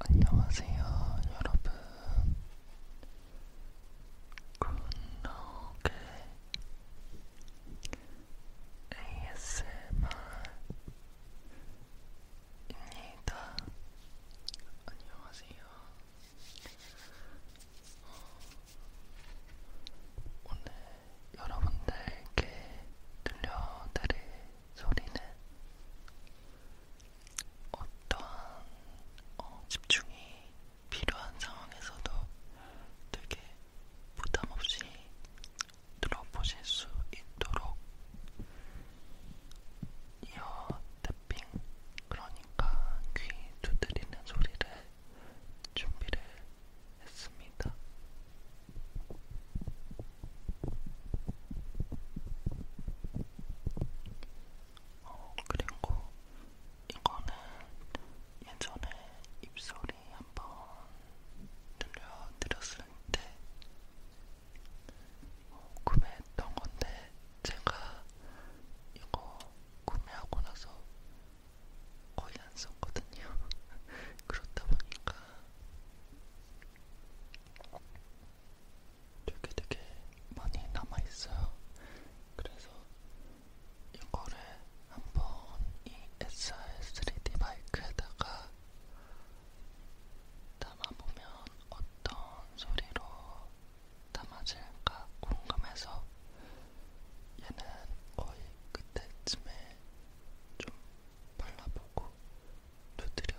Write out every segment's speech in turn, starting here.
안녕하세요, 여러분. 굿노게 ASMR입니다. 안녕하세요. 어, 오늘 여러분들께 들려드릴 소리는 어떠한 어, 집중이 필요한 상황에서도 되게 부담 없이 들어보실 수 있도록 이어 탭핑 그러니까 귀 두드리는 소리를 준비를 했습니다. 어, 그리고 이거는 예전에 입소리 한번 들려드렸을 때 어, 구매했던 건데 제가 이거 구매하고 나서 거의 안 썼거든요. 그렇다 보니까 되게 되게 많이 남아있어요. 그래서 이거를 한번 이 SR3D 마이크에다가 담아보면 어떤 소리로 담아질까 궁금해서 얘는 거의 그때쯤에 좀 발라보고 두드려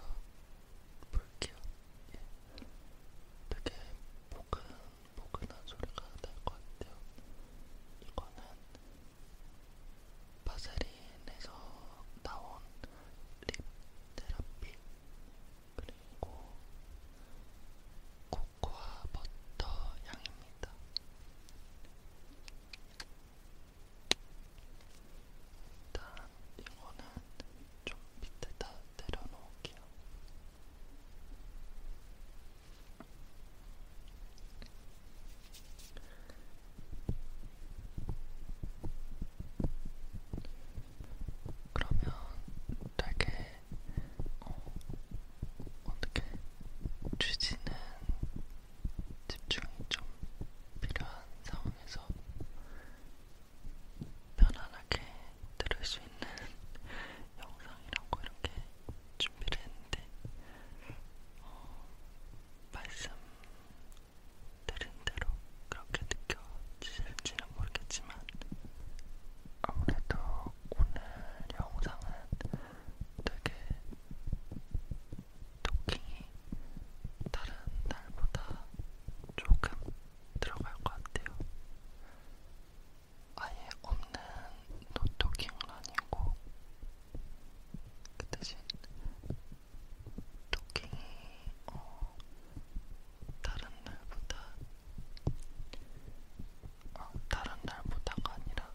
볼게요. 예. 되게 포근포근한 소리가 날 것 같아요. 이거는 바세린에서 나온 립 테라피 그리고 코코아 버터 향입니다. 일단 이거는 좀 밑에다 내려놓을게요. 그러면 되게 어, 어떻게 주지는 집중이 좀 필요한 상황에서 편안하게 들을 수 있는 영상이라고 이렇게 준비를 했는데 어, 말씀드린 대로 그렇게 느껴지실지는 모르겠지만 아무래도 오늘 영상은 되게 토킹이 다른 날보다 조금 들어갈 것 같아요. 아예 없는 노토킹은 아니고 그 대신 토킹이 어, 다른 날보다 어, 다른 날보다가 아니라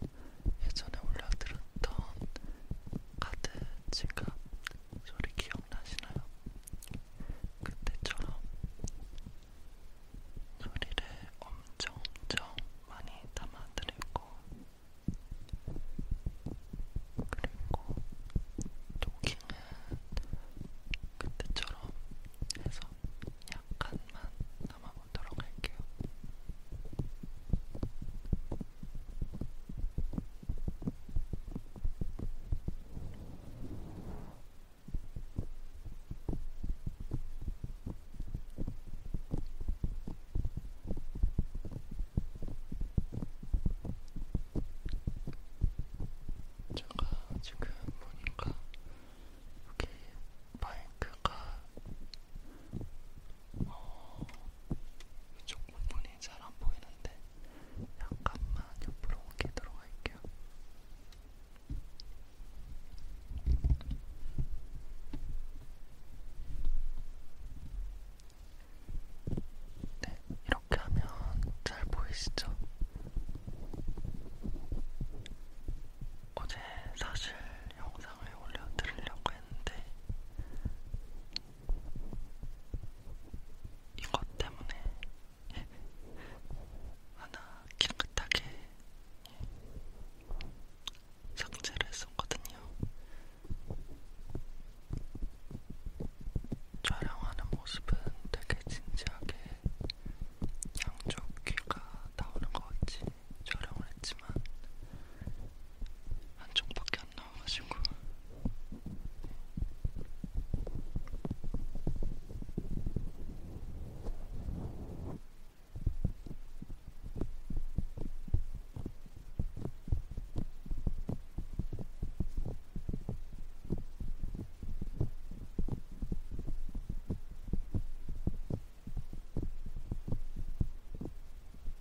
예전에 올려드렸던 카드 지금 소리 기억나시나요? 그때처럼 소리를 엄청 엄청 많이 담아드리고 그리고 토킹은 그때처럼 해서 약간만 담아보도록 할게요. 제가 지금 보니까 여기 마이크가 어, 이쪽 부분이 잘 안 보이는데 약간만 옆으로 오게 들어갈게요. 네, 이렇게 하면 잘 보이시죠? 어제 사실 영상을 올려드리려고 했는데 이것 때문에 하나 깨끗하게 삭제를 했었거든요. 촬영하는 모습은 되게 진지하게 양쪽 귀가 나오는 것 같이 촬영을 했지만 한쪽밖에 안 나와가지고.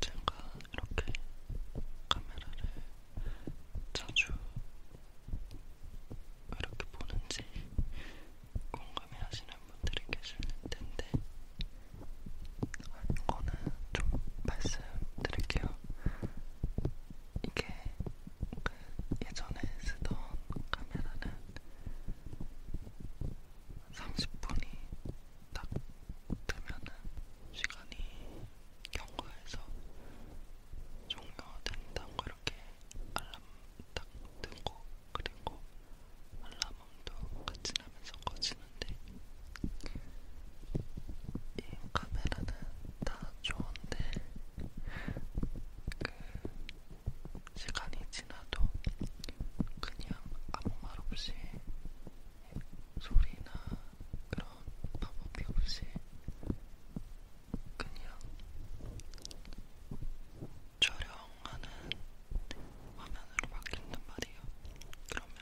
제가 이렇게 카메라를 자주 이렇게 보는지 궁금해 하시는 분들이 계실 텐데, 이거는 좀 말씀드릴게요. 이게 그 예전에 쓰던 카메라는 30분이 딱 되면은 시간이 경과해서 종료된다고 이렇게 알람 딱 뜨고 그리고 알람음도 같이 나면서 꺼지는데 이 카메라는 다 좋은데 그 시간이 지나도 그냥 아무 말 없이 소리나 그런 방법이 없이 그냥 촬영하는 화면으로 바뀐단 말이에요. 그러면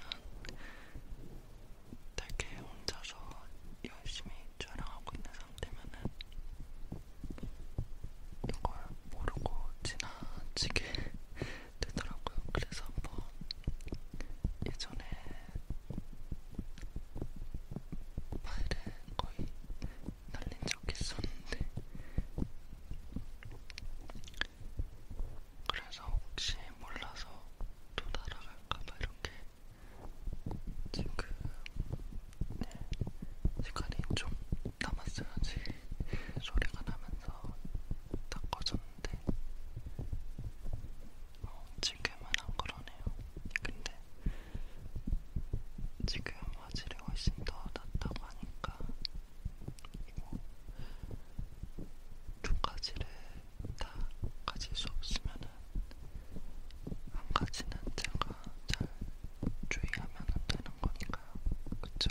되게 혼자서 열심히 촬영하고 있는 상태면은 이걸 모르고 지나치게 되더라고요. 그래서 한번 예전에 파일에 거의 날린 적 있었는데 그래서 혹시 몰라서 또 날아갈까봐 이렇게 지금 네, 시간이 좀 남았어야지 소리가 나면서 다 꺼졌는데 어, 지금은 안 그러네요. 근데 지금 화질이 훨씬 더 낫다고 하니까 뭐두 가지를 다 가질 수 없으면은 한 가지는 제가 잘 주의하면 되는 거니까요, 그쵸?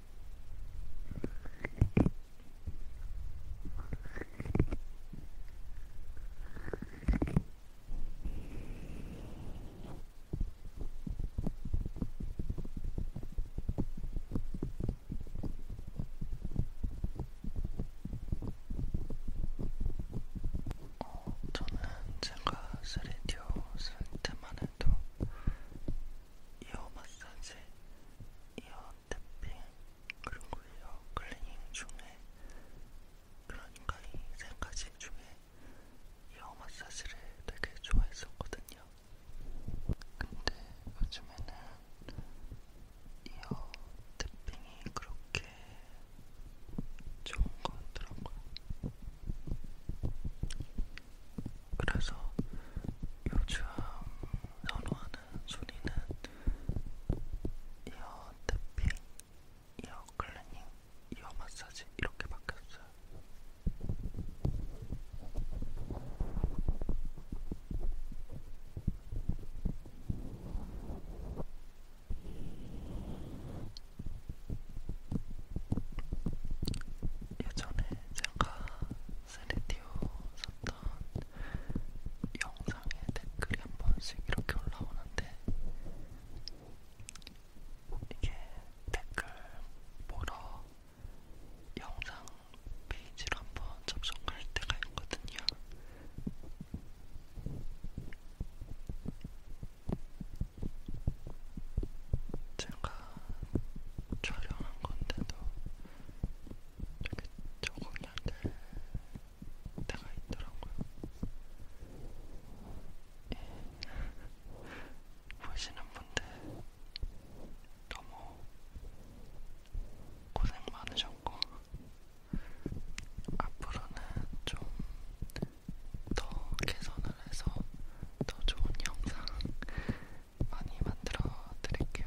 저는 제가 3DO 쓸 때만 해도 이어 마사지, 이어 탭핑, 그리고 이어 클리닝 중에 그러니까 이세 가지 중에 이어 마사지를 되게 좋아했었거든요. 근데 요즘에는 이어 탭핑이 그렇게 좋은 거 같더라고요. 그래서 요즘 선호하는 소리는 이어 탭핑, 이어 클렌징, 이어 마사지 이렇게 바뀌었어요. 예전에 제가 세레디오 썼던 영상에 댓글이 한 번씩 이렇게 올라오는데 이게 댓글 보러 영상 페이지로 한 번 접속할 때가 있거든요. 제가 촬영한 건데도 되게 적응이 안될 때가 있더라고요. 예. 보시는 분들 너무 고생 많으셨고 앞으로는 좀 더 개선을 해서 더 좋은 영상 많이 만들어 드릴게요.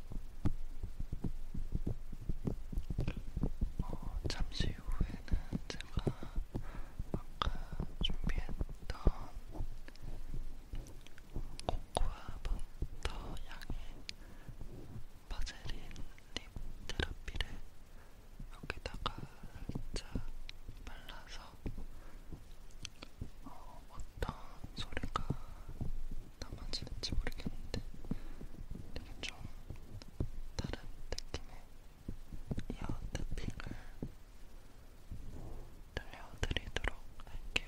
어, 잠시 후에는 제가 아까 준비했던 코코아 버터 향의 바젤린 립 테라피를 여기다가 살짝 발라서 어, 어떤 소리가 담아지는지 모르겠는데 되게 좀 다른 느낌의 이어 탭핑을 들려드리도록 할게요.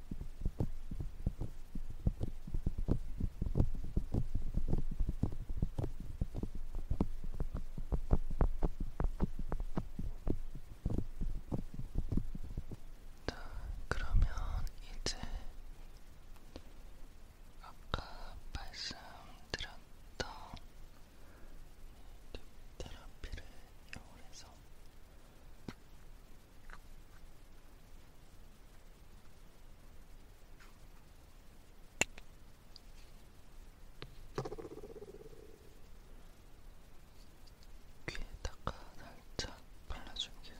자, 그러면 이제 아까 말씀드렸던 테라피를 이용해서 귀에다가 살짝 발라줄게요.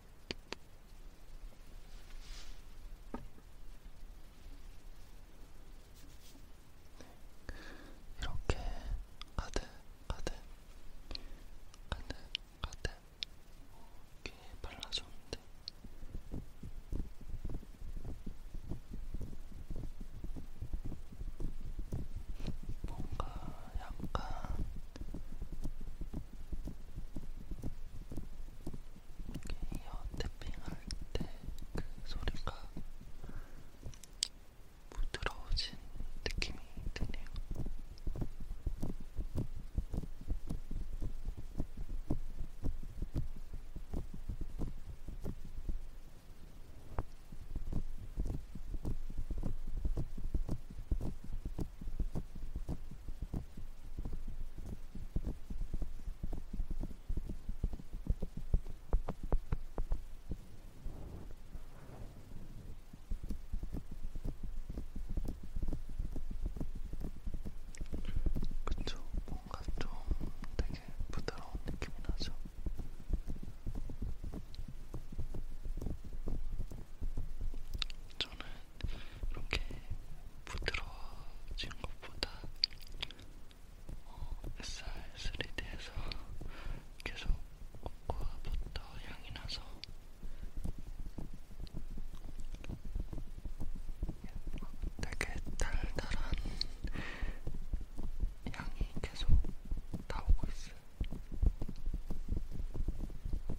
이렇게 가득 가득 가득 가득 귀에 발라줬는데 뭔가 약간 이어 탭핑할 때 그 소리가 부드러워진 느낌이 드네요. 그쵸, 뭔가 좀 되게 부드러운 느낌이 나죠. 저는 이렇게 부드러워진 것보다 어, SR3D에서 계속 코코아 버터 향이 나서 되게 달달한 향이 계속 나오고 있어요.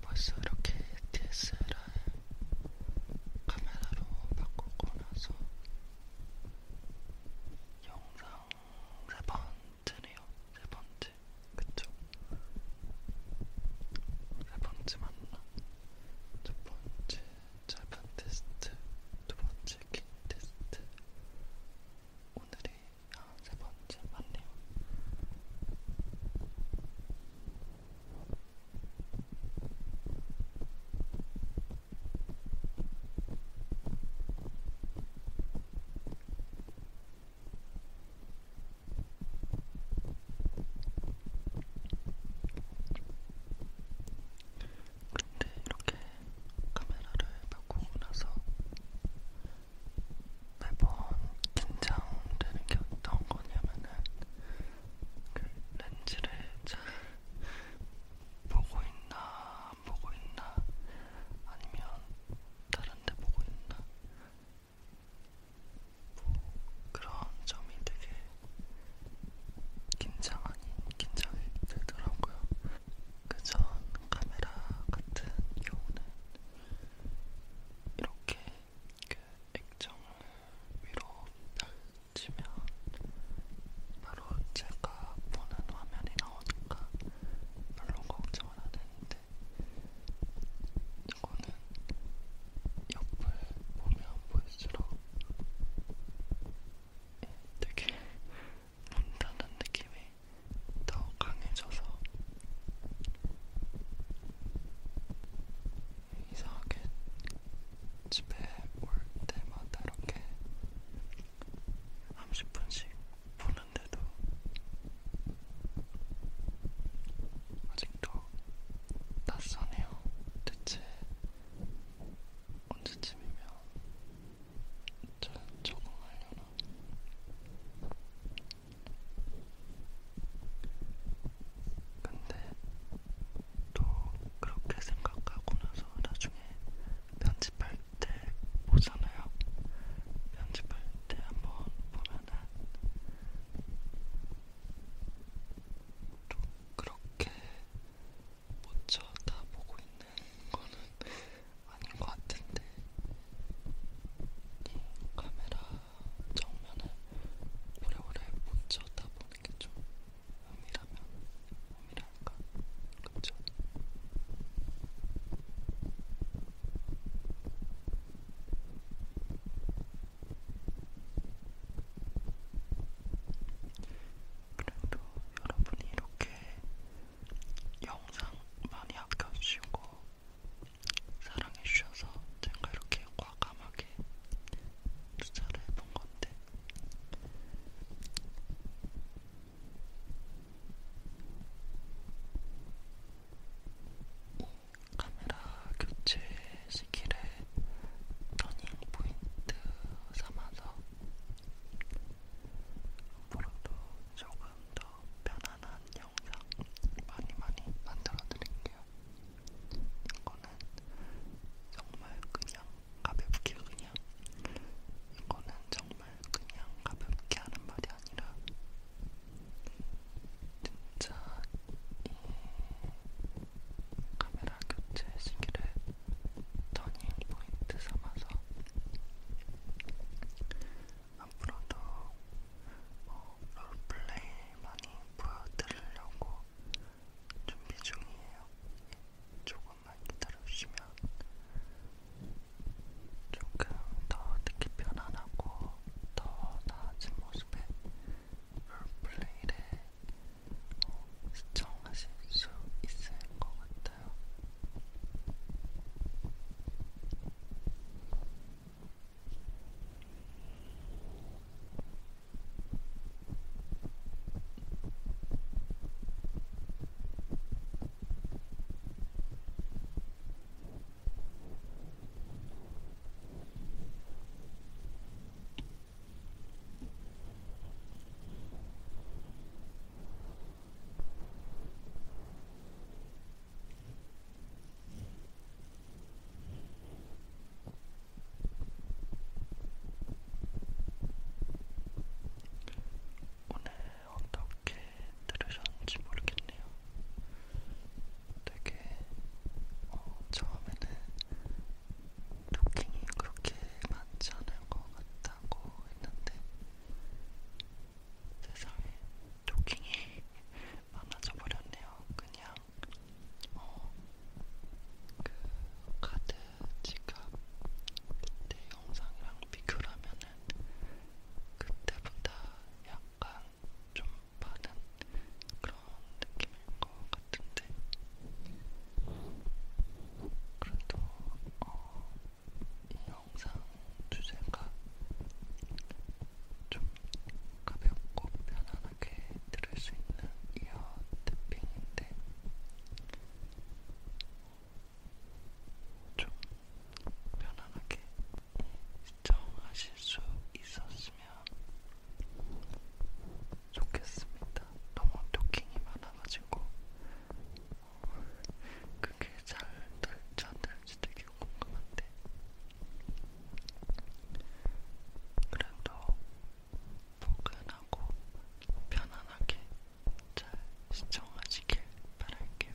벌써 이렇게 DSLR 카메라로 바꾸고 나서 영상 세 번째네요. 세 번째, 그쵸? 세 번째 맞나? 첫 번째 짧은 테스트, 두 번째 긴 테스트. 오늘이 아, 세 번째 맞네요. 근데 이렇게 카메라를 바꾸고 나서 매번 긴장되는 게 어떤 거냐면은 그 렌즈를 잘 보고 있나 안 보고 있나 아니면 다른데 보고 있나 뭐 그런 점이 되게 긴장 아닌 긴장이 들더라고요. 그 전 카메라 같은 경우는 이렇게 그 액정을 위로 치면 바로 제가 보는 화면이 나오니까 별로 걱정은 안 했는데 이거는 옆을 보면 볼수록 되게 온다는 느낌이 더 강해져서 이상하게 집에 올 때마다 이렇게 30분씩 보는데도 아직도 낯서네요. 대체 언제쯤이면 잘 적응하려나? 근데 또 그렇게 생각하고 나서 나중에 편집할 때 보잖아요. 편집할 때 한번 보면은 또 그렇게 먼저 다 보고 있는 거는 아닌 것 같은데 이 카메라 정면을 오래오래 먼저 다 보는 게 좀 의미라면 의미랄까 그쵸? 그래도 여러분이 이렇게 영상 많이 아껴주시고 사랑해주셔서 제가 이렇게 과감하게 투자를 해본 건데 카메라 교체 시기를 터닝 포인트 삼아서 앞으로도 조금 더 편안한 영상 많이 많이 만들어 드릴게요. 이거는 정말 그냥 가볍게 그냥 이거는 정말 그냥 가볍게 하는 말이 아니라 진짜 이 카메라 교체 시기를 터닝 포인트 삼아서 앞으로도 뭐 롤플레이 많이 보여드리려고 준비 중이에요. 조금만 기다려주시면 조금 더 듣기 편안하고 더 나아진 모습의 롤플레이를 시청하실 수 있을 것 같아요. 오늘 어떻게 들으셨는지 모르겠네요. 되게 어, 처음에는 토킹이 그렇게 많지 않을 것 같다고 했는데 세상에 토킹이 많아져 버렸네요. 그냥 어, 그 카드 지갑 그때 영상이랑 비교라면은 그때보다 약간 좀 많은 그런 느낌일 것 같아요. 같은데 그래도 어, 이 영상 주제가 좀 가볍고 편안하게 들을 수 있는 이어 탭핑인데 좀 편안하게 시청하실 수 있었으면 좋겠습니다. 너무 토킹이 많아가지고 어, 그게 잘 될지 안 될지 되게 궁금한데 그래도 포근하고 편안하게 잘 시청하시길 바랄게요.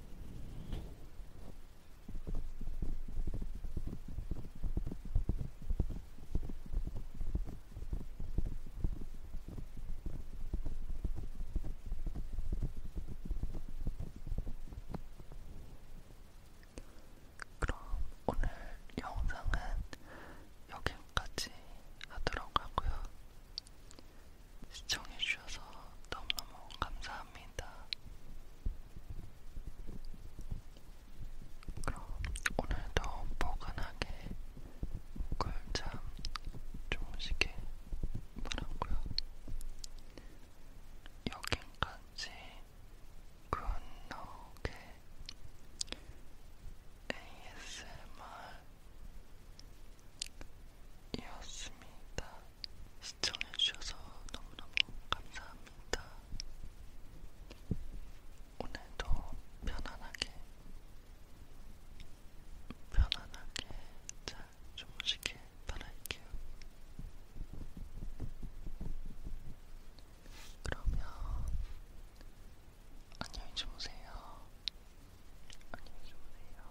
그럼 오늘 영상은 여기까지 하도록 하고요. 시청해주셔서 너무너무 감사합니다. 그럼 오늘도 포근하게 꿀잠 주무시길 바라고요. 여기까지 굿노게 ASMR 이었습니다. 시청해주셔서 너무너무 감사합니다. 오늘도 편안하게, 편안하게 잘 주무시길 바랄게요. 그러면 안녕히 주무세요. 안녕히 주무세요.